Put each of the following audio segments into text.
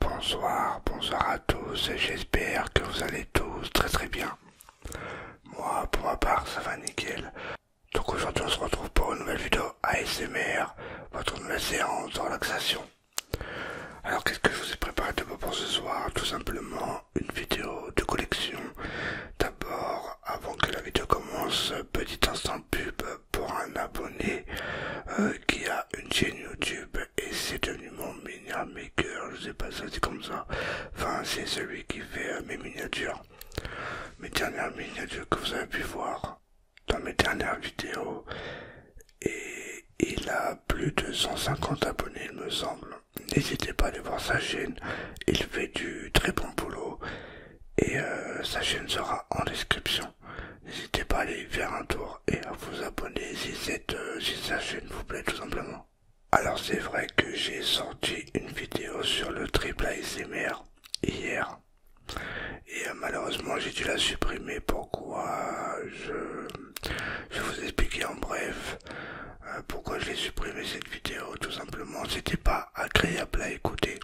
Bonsoir, bonsoir à tous j'espère que vous allez tous très très bien. Moi pour ma part ça va nickel. Donc aujourd'hui on se retrouve pour une nouvelle vidéo ASMR, votre nouvelle séance de relaxation. Alors qu'est-ce que je vous ai préparé de beau pour ce soir Tout simplement une vidéo de collection. D'abord, avant que la vidéo commence, petit instant pub pour un abonné euh, qui a une chaîne YouTube et c'est devenu mon miniature maker, je sais pas si c'est comme ça, enfin c'est celui qui fait euh, mes miniatures. Mes dernières miniatures que vous avez pu voir dans mes dernières vidéos et il a plus de 150 abonnés il me semble. N'hésitez pas à aller voir sa chaîne, il fait du très bon boulot et euh, sa chaîne sera en description N'hésitez pas à aller faire un tour et à vous abonner euh, si cette chaîne vous plaît tout simplement. Alors c'est vrai que j'ai sorti une vidéo sur le triple ASMR hier et euh, malheureusement j'ai dû la supprimer. Pourquoi euh, je vais vous expliquer en bref pourquoi pourquoi j'ai supprimé cette vidéo tout simplement. C'était pas agréable à écouter.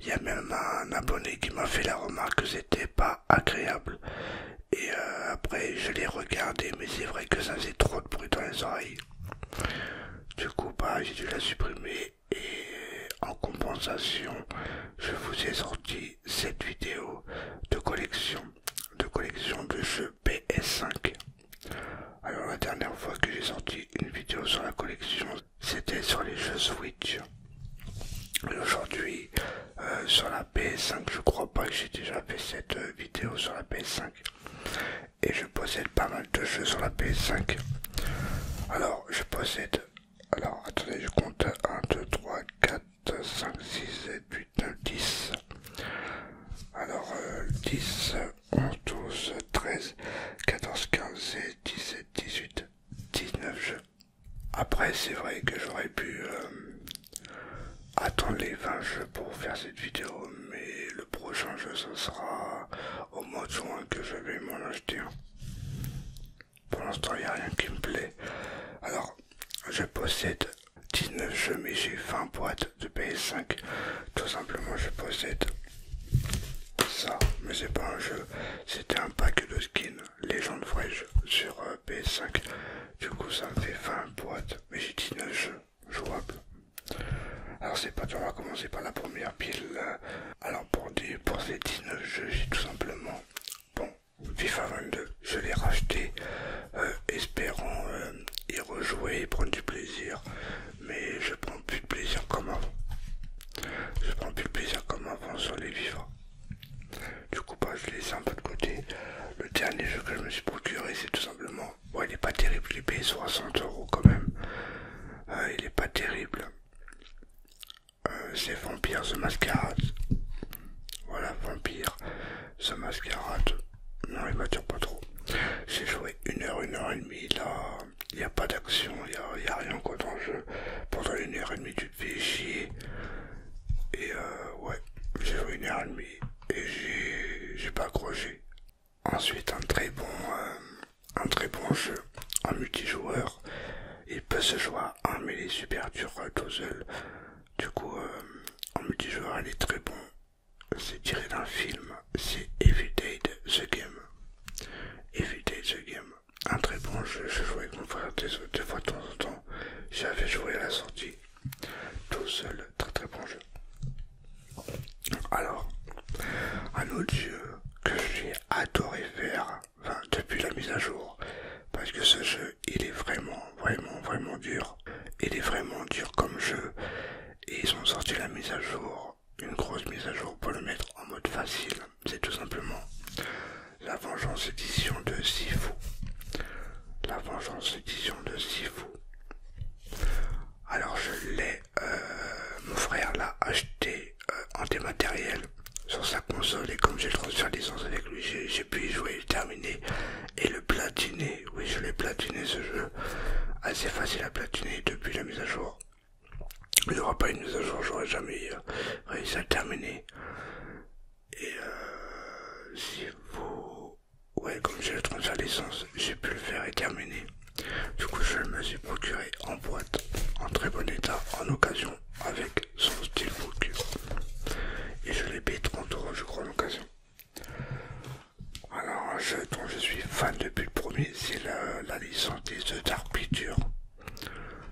Il y a même un abonné qui m'a fait la remarque que c'était pas agréable. Et euh, après, je l'ai regardé, mais c'est vrai que ça faisait trop de bruit dans les oreilles. Du coup, bah, j'ai dû la supprimer. Et en compensation, je vous ai sorti cette vidéo de collection, de collection de jeux PS5. Alors la dernière fois que j'ai sorti une vidéo sur la collection, c'était sur les jeux Switch. Et aujourd'hui, euh, sur la PS5, je crois pas que j'ai déjà fait cette euh, vidéo sur la PS5. Et je possède pas mal de jeux sur la PS5. Alors, je possède... Alors, attendez, je compte 1, 2, 3, 4, 5, 6, 7, 8, 9, 10. Alors, 10, 11, 12, 13, 14, 15, 16, 17, 18. 19 jeux. Après, c'est vrai que j'aurais pu euh, attendre les 20 jeux pour faire cette vidéo, mais le prochain jeu, ce sera au mois de juin que je vais m'en acheter. Pour l'instant, il n'y a rien qui me plaît. Alors, je possède 19 jeux, mais j'ai 20 boîtes de PS5. Tout simplement, je possède ça, mais c'est pas un jeu, c'était un pack de skins légende fraîche, sur euh, PS5. Du coup, ça me fait 20 boîtes, mais j'ai 19 jeux jouables. Alors, c'est pas, on va commencer par la première pile. Euh. Alors, pour, pour ces 19 jeux, j'ai tout simplement. Bon, FIFA 22, je l'ai racheté, euh, espérant y rejouer et prendre du plaisir mais je prends plus de plaisir comme avant. Je prends plus de plaisir comme avant sur les vivants. Du coup, pas bah, je les ai un peu de côté. Le dernier jeu que je me suis procuré, c'est tout simplement. Bon, il est pas terrible, il payé 60 euros quand même. Euh, il est pas terrible. Euh, c'est Vampire The Masquerade Voilà, Vampire The Masquerade Non, il m'attire pas trop. J'ai joué une heure, une heure et demie là il n'y a pas d'action, il n'y a, rien quoi dans le jeu. Pendant une heure et demie, tu te fais chier. Et euh, ouais, j'ai joué une heure et demie et j'ai pas accroché. Ensuite, un très bon, euh, un très bon jeu en multijoueur. Il peut se jouer un, mais il est super dur tout seul. Du coup, euh, en multijoueur, il est très bon c'est tiré d'un film, c'est Evade the Game. Evade the Game, un très bon jeu, je jouais avec mon frère des, fois de temps en temps, j'avais joué à la sortie, tout seul, très très bon jeu. Alors, un autre jeu que j'ai adoré faire depuis la mise à jour, parce que ce jeu, il est vraiment, vraiment, vraiment dur. Il est vraiment dur comme jeu. Et ils ont sorti la mise à jour une grosse mise à jour pour le mettre en mode facile, c'est tout simplement la vengeance édition de Sifu. La vengeance édition de Sifu. Alors je l'ai, euh, mon frère l'a acheté euh, en dématériel sur sa console et comme j'ai le transfert licence avec lui, j'ai pu y jouer, terminer et le platiner oui je l'ai platiné ce jeu, assez facile à platiner depuis la mise à jour. Il n'y aura pas une mise à jour, j'aurais jamais euh, réussi à le terminer. Et euh, si vous... Ouais, comme j'ai le transfert d'essence, j'ai pu le faire et terminer. Du coup, je me suis procuré en boîte, en très bon état, en occasion, avec son steelbook. Et je l'ai payé 30 euros, je crois, en occasion. Alors, un jeu dont je suis fan depuis le premier, c'est la, licence de The Dark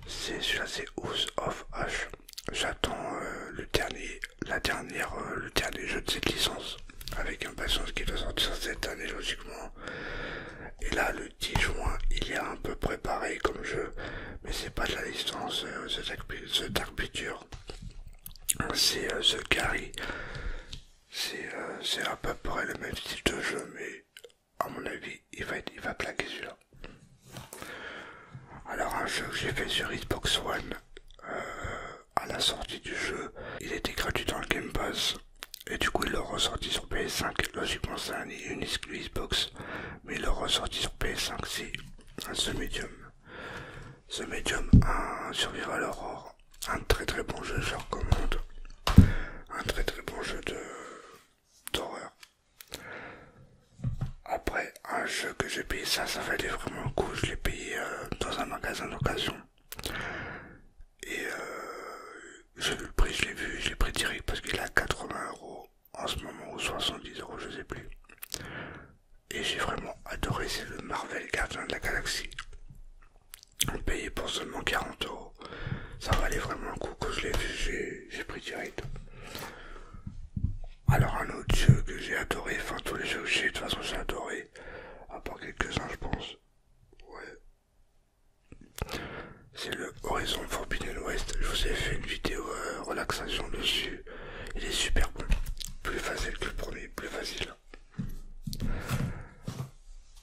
C'est celui House of H. J'attends euh, le dernier, la dernière, euh, le dernier jeu de cette licence avec impatience qui doit sortir cette année logiquement. Et là, le 10 juin, il est un peu préparé comme jeu, mais c'est pas de la licence c'est The Dark c'est The euh, Carry. Euh, c'est à peu près le même style de jeu, mais à mon avis, il va, il va plaquer sur. Alors, un jeu que j'ai fait sur Xbox One euh, à la sortie du jeu, il était gratuit dans le Game Pass. Et du coup, il l'a ressorti sur PS5. Logiquement, c'est un, une exclusive Xbox, mais il l'a ressorti sur PS5, c'est ce médium. Medium ce médium un survivre à l'aurore. Un très très bon jeu, je recommande. Un très très bon jeu d'horreur. Après, un jeu que j'ai payé, ça, ça valait vraiment le coup. Je l'ai payé euh, dans un magasin d'occasion. Et euh, j'ai vu le prix, je l'ai vu, je l'ai pris direct parce qu'il est à 80 euros en ce moment ou 70 euros, je sais plus et j'ai vraiment adoré, c'est le Marvel Gardien de la Galaxie. payé pour seulement 40 euros. Ça valait vraiment le coup que je l'ai vu, j'ai pris direct. Alors un autre jeu que j'ai adoré, enfin tous les jeux que j'ai de toute façon j'ai adoré, à part quelques-uns je pense. Ouais. C'est le Horizon Forbidden West. Je vous ai fait une vidéo euh, relaxation dessus. Il est super bon. Plus facile que le premier, plus facile.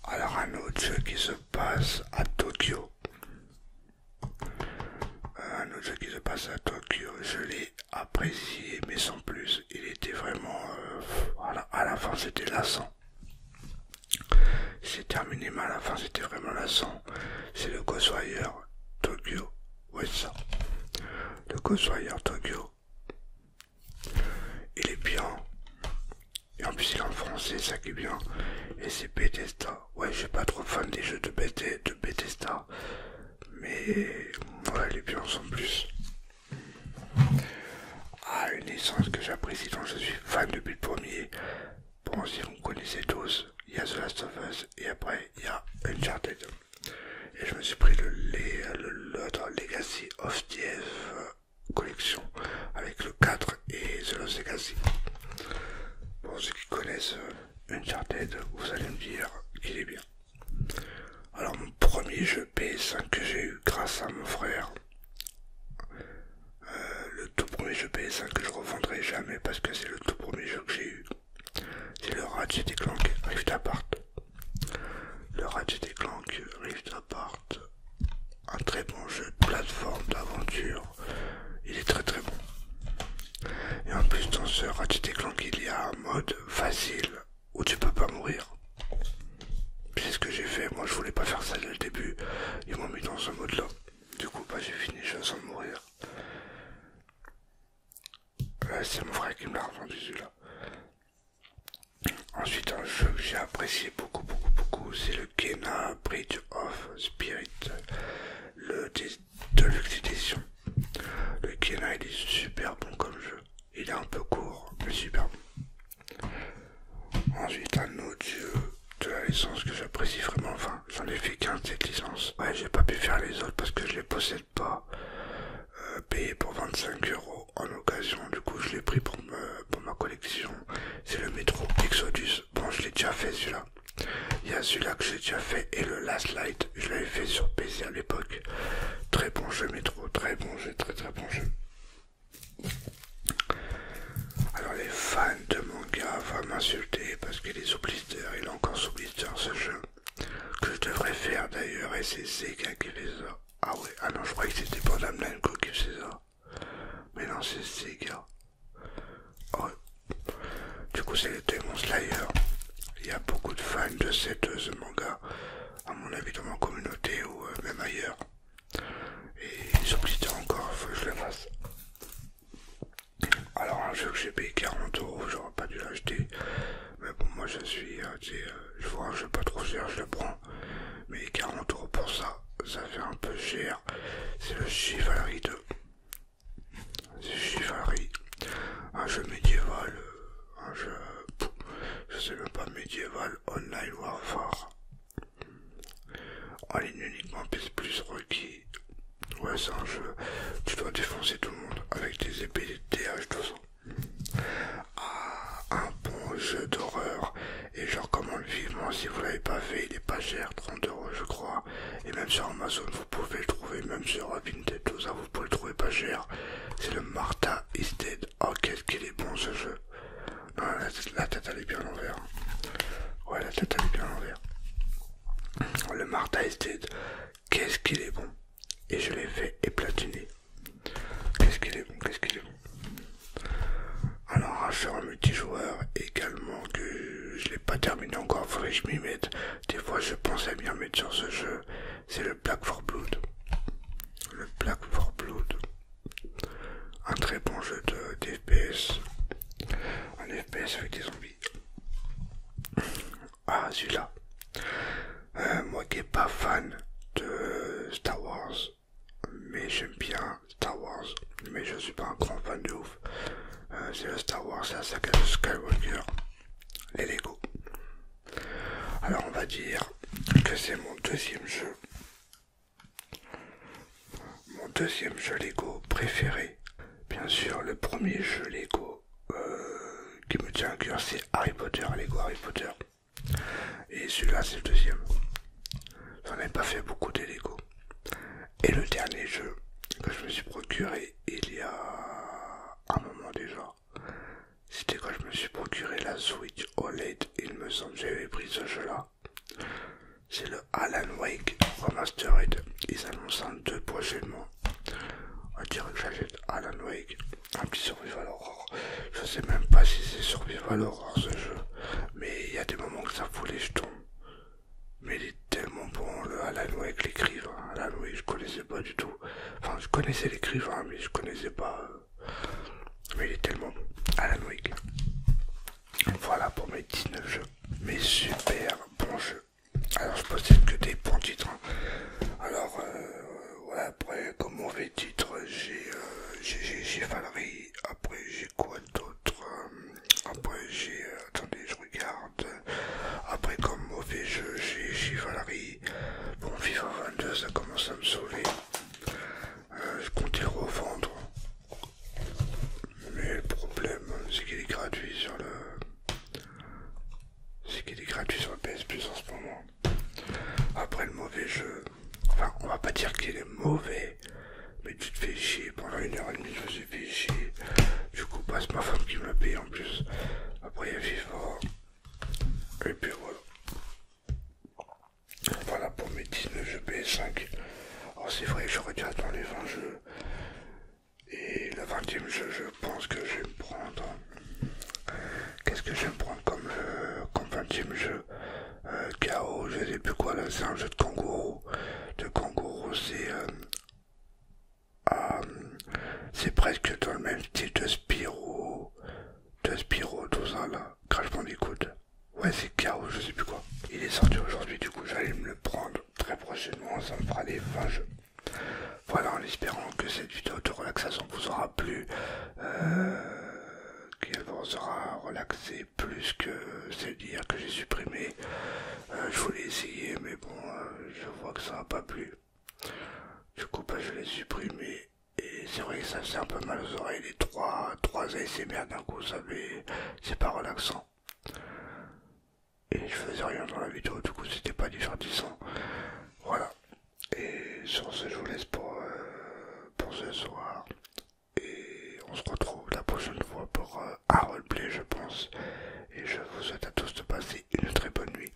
Alors un autre jeu qui se passe à Tokyo. Un autre jeu qui se passe à Tokyo, je l'ai apprécié mais sans plus. Il était vraiment... Euh, à, la, fin c'était lassant. C'est terminé mais à la fin c'était vraiment lassant. C'est le Ghostwire Tokyo ça le Cosplayer Tokyo. Il est bien. Et en plus il est en français, ça qui est bien. Et c'est Bethesda. Ouais, je suis pas trop fan des jeux de, Bethesda, de Mais voilà, les biens bien en plus. Ah, une essence que j'apprécie dont je suis fan depuis le premier. Bon, si vous connaissez tous, il y a The Last of Us et après il y a Uncharted. Et je me suis pris le, Legacy of DF euh, Collection avec le 4 et The Lost Legacy. Pour ceux qui connaissent euh, Uncharted, vous allez me dire qu'il est bien. Alors mon premier jeu PS5 que j'ai eu grâce à mon frère, euh, le tout premier jeu PS5 que je revendrai jamais parce que c'est le tout premier jeu que j'ai eu, c'est le Ratchet et Clank Rift-Apart. Le Ratchet et Clank Rift-Apart, un très bon jeu de plateforme d'aventure. Il est très très bon. Et en plus, dans ce Ratchet et Clank, il y a un mode facile où tu peux pas mourir. C'est ce que j'ai fait. Moi, je voulais pas faire ça dès le début. Ils m'ont mis dans ce mode là. Du coup, bah, j'ai fini, je sens de mourir. Euh, c'est mon frère qui me l'a vendu celui-là. Ensuite, un jeu que j'ai apprécié beaucoup, beaucoup, beaucoup, c'est le Kena Bridge of Spirit, le Deluxe Edition. Le Kena, il est super bon comme jeu. Il est un peu court, mais super Ensuite, un autre jeu de la licence que j'apprécie vraiment, j'en ai fait 15 de cette licence. Ouais, j'ai pas pu faire les autres parce que je les possède pas. Euh, payé pour 25 euros en occasion, du coup je l'ai pris pour, pour ma collection. C'est le métro Exodus. Bon, je l'ai déjà fait celui-là. Il y a celui-là que j'ai déjà fait et le Last Light, je l'avais fait sur PC à l'époque. Très bon jeu métro, très bon jeu, très très bon jeu. Alors les fans de manga va m'insulter parce qu'il est sous il est encore sous blister ce jeu. Que je devrais faire d'ailleurs, et c'est Sega qui fait Ah ouais, ah non, je croyais que c'était pas Namco qui faisait ça. Mais non, c'est Sega. Ah du coup, c'est le Demon Slayer. Il y a beaucoup de fans de cette, euh, manga, à mon avis, dans ma communauté ou euh, même ailleurs. Et ils encore, faut que je le fasse. Alors un jeu que j'ai payé 40 euros, j'aurais pas dû l'acheter. Mais bon, moi je suis, euh, euh, je vois un jeu pas trop cher, je le prends. Mais 40 euros pour ça, ça fait un peu cher. C'est le Chivalry 2. C'est Chivalry. Un jeu médiéval. Euh, un jeu... Je sais même pas, médiéval, online warfare. En ligne uniquement, plus, requis. Ouais, c'est un jeu. Tu dois défoncer tout le monde avec tes épées de TH200. Ah, un bon jeu d'horreur. Et je recommande vivement si vous l'avez pas fait. Il est pas cher, 30 je crois. Et même sur Amazon, vous pouvez le trouver. Même sur Vinted, tout vous pouvez le trouver pas cher. C'est le Martha is Dead. Oh, qu'est-ce qu'il est bon ce jeu. Non, la tête, est bien à l'envers. Ouais, la tête elle bien à l'envers. Le Martha Dead. qu'est-ce qu'il est bon! Et je l'ai fait éplatiner. Qu'est-ce qu'il est bon! Qu'est-ce qu'il est bon! Alors, un sur multijoueur également que je l'ai pas terminé encore, faudrait je m'y mette. Des fois, je pensais bien mettre sur ce jeu. C'est le Black for Blood. Le Black for Blood. Un très bon jeu de d'FPS. Un FPS avec des zombies. Ah, celui-là. Euh, moi qui n'ai pas fan de Star Wars, mais j'aime bien Star Wars, mais je suis pas un grand fan de ouf. Euh, c'est le Star Wars, la saga de Skywalker, les Lego. Alors on va dire que c'est mon deuxième jeu mon deuxième jeu Lego préféré, bien sûr, le premier jeu Lego euh, qui me tient à cœur, c'est Harry Potter, Lego Harry Potter. Et celui-là, c'est le deuxième. J'en ai pas fait beaucoup de Lego. Et le dernier jeu que je me suis procuré il y a un moment déjà, c'était quand je me suis procuré la Switch OLED. Il me semble que j'avais pris ce jeu-là. C'est le Alan Wake Remastered. Ils annoncent en deux prochainement. On dirait que j'achète Alan Wake, un petit survival horror. Je sais même pas si c'est survival horror ce jeu, mais il y a des moments que ça fout les jetons. Mais il est tellement bon le Alan Wake, l'écrivain. Alan Wake, je connaissais pas du tout. Enfin, je connaissais l'écrivain, mais je connaissais pas euh, mais il est tellement à la Voilà pour mes 19 jeux. Mes super bons jeux. Alors je possède que des bons titres. Hein. Alors euh, ouais, après comme mauvais titre j'ai euh, j'ai j'ai Après j'ai quoi d'autre euh, Après j'ai... attendez je regarde. Après comme mauvais jeu j'ai Valerie. Bon FIFA 22 ça commence à me sauver je comptais revendre. Mais le problème, c'est qu'il est gratuit sur le. C'est qu'il est gratuit sur PS Plus en ce moment. Après le mauvais jeu. Enfin, on va pas dire qu'il est mauvais. Mais tu te fais chier. Pendant une heure et demie, je me suis fait chier. Du coup, pas bah, c'est ma femme qui me l'a paye en plus. Après, il y a FIFA. Et puis voilà. Voilà pour mes 19 jeux PS5. Alors c'est vrai que j'aurais dû attendre les 20 jeux. Et le 20ème jeu, je pense que je vais me prendre. Qu'est-ce que je vais me prendre comme, 20ème euh, jeu chaos, euh, KO, je sais plus quoi là, c'est un jeu de kangourou. De kangourou, c'est. Euh, ah, c'est presque dans le même style de Spyro. De Spiro tout ça là des coudes. Ouais, c'est Chaos, je sais plus quoi. Il est sorti aujourd'hui, du coup, j'allais me le prendre très prochainement. Ça me fera des vaches. Voilà, en espérant que cette vidéo de relaxation vous aura plu, euh, qu'elle vous aura relaxé plus que celle dire que j'ai supprimé. Euh, je voulais essayer, mais bon, euh, je vois que ça n'a pas plu. Du coup, bah, je l'ai supprimé et c'est vrai que ça faisait un peu mal aux oreilles, les trois, trois ASMR d'un coup, ça c'est pas relaxant. Et je faisais rien dans la vidéo, du coup c'était pas divertissant. Voilà. Et sur ce, je vous laisse pour, euh, pour ce soir. Et on se retrouve la prochaine fois pour euh, un roleplay, je pense. Et je vous souhaite à tous de passer une très bonne nuit.